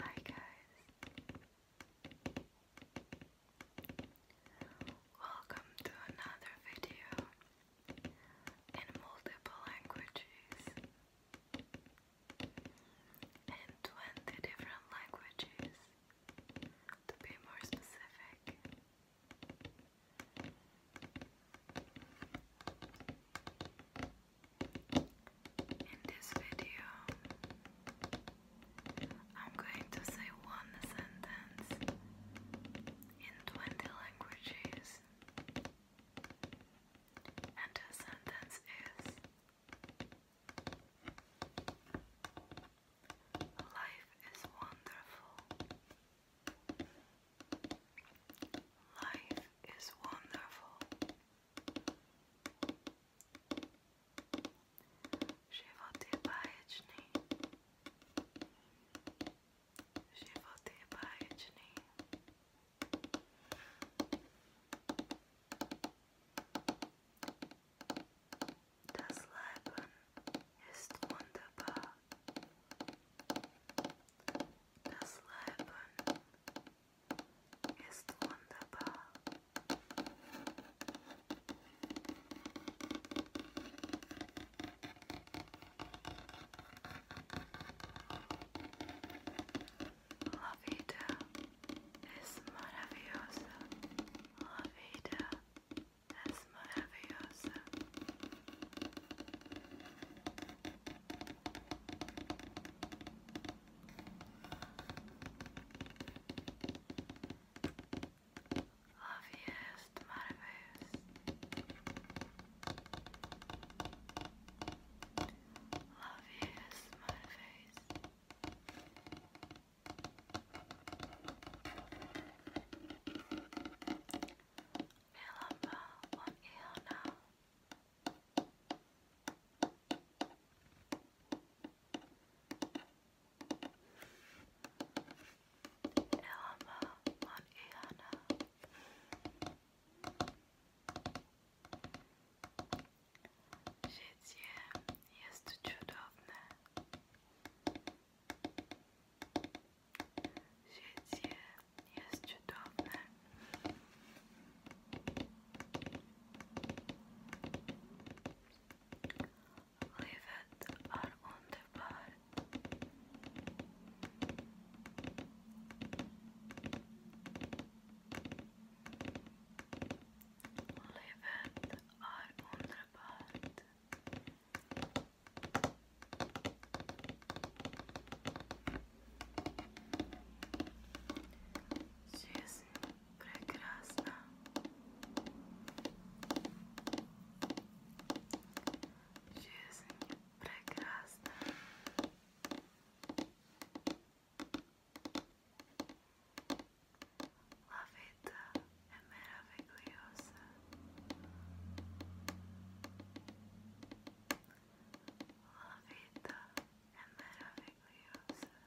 Hi guys. Welcome to another video in multiple languages in 20 different languages to be more specific. In this video, I'm going to say one sentence in 20 languages, and the sentence is Life is wonderful. Life is wonderful. Život je báječný. Život je báječný. Das Leben ist wunderbar. Das Leben Ist wunderbar. Uh, La vida es maravillosa. La vida es maravillosa. Obvious Marvis. Obvious Marvis. Melamba on Iona. Melamba on Iona. Elma on Iana. Życie jest cudowne. Życie jest cudowne. Leave it are er on the bar. Leave it are on the part. Жизнь прекрасна. Жизнь прекрасна. La vita è meravigliosa. La vita è meravigliosa.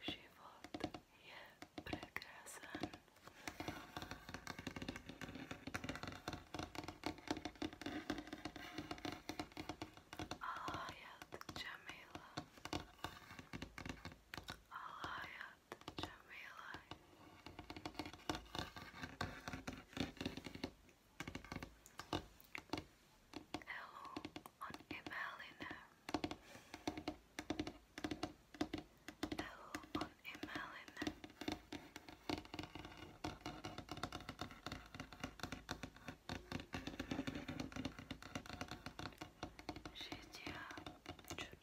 Život je prekrasan. Al-Hayat Jamila. al Hello on Emelina. Hello on Emelina. Życia czudowe.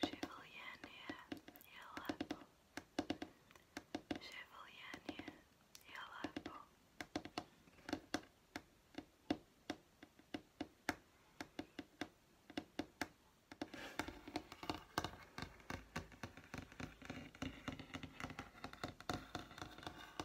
Chevalier, yellow apple. Chevalier, yellow apple. Chevalier,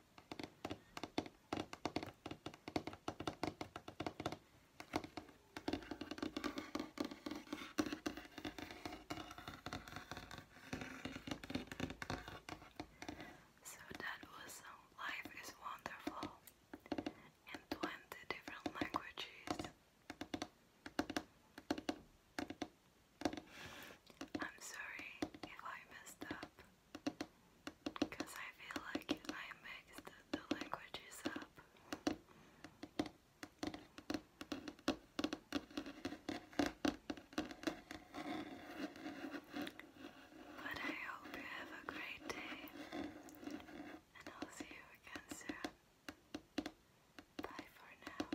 So that was um, Life is Wonderful in 20 different languages. I'm sorry if I messed up because I feel like I mixed the languages up. But I hope you have a great day and I'll see you again soon. Bye for now.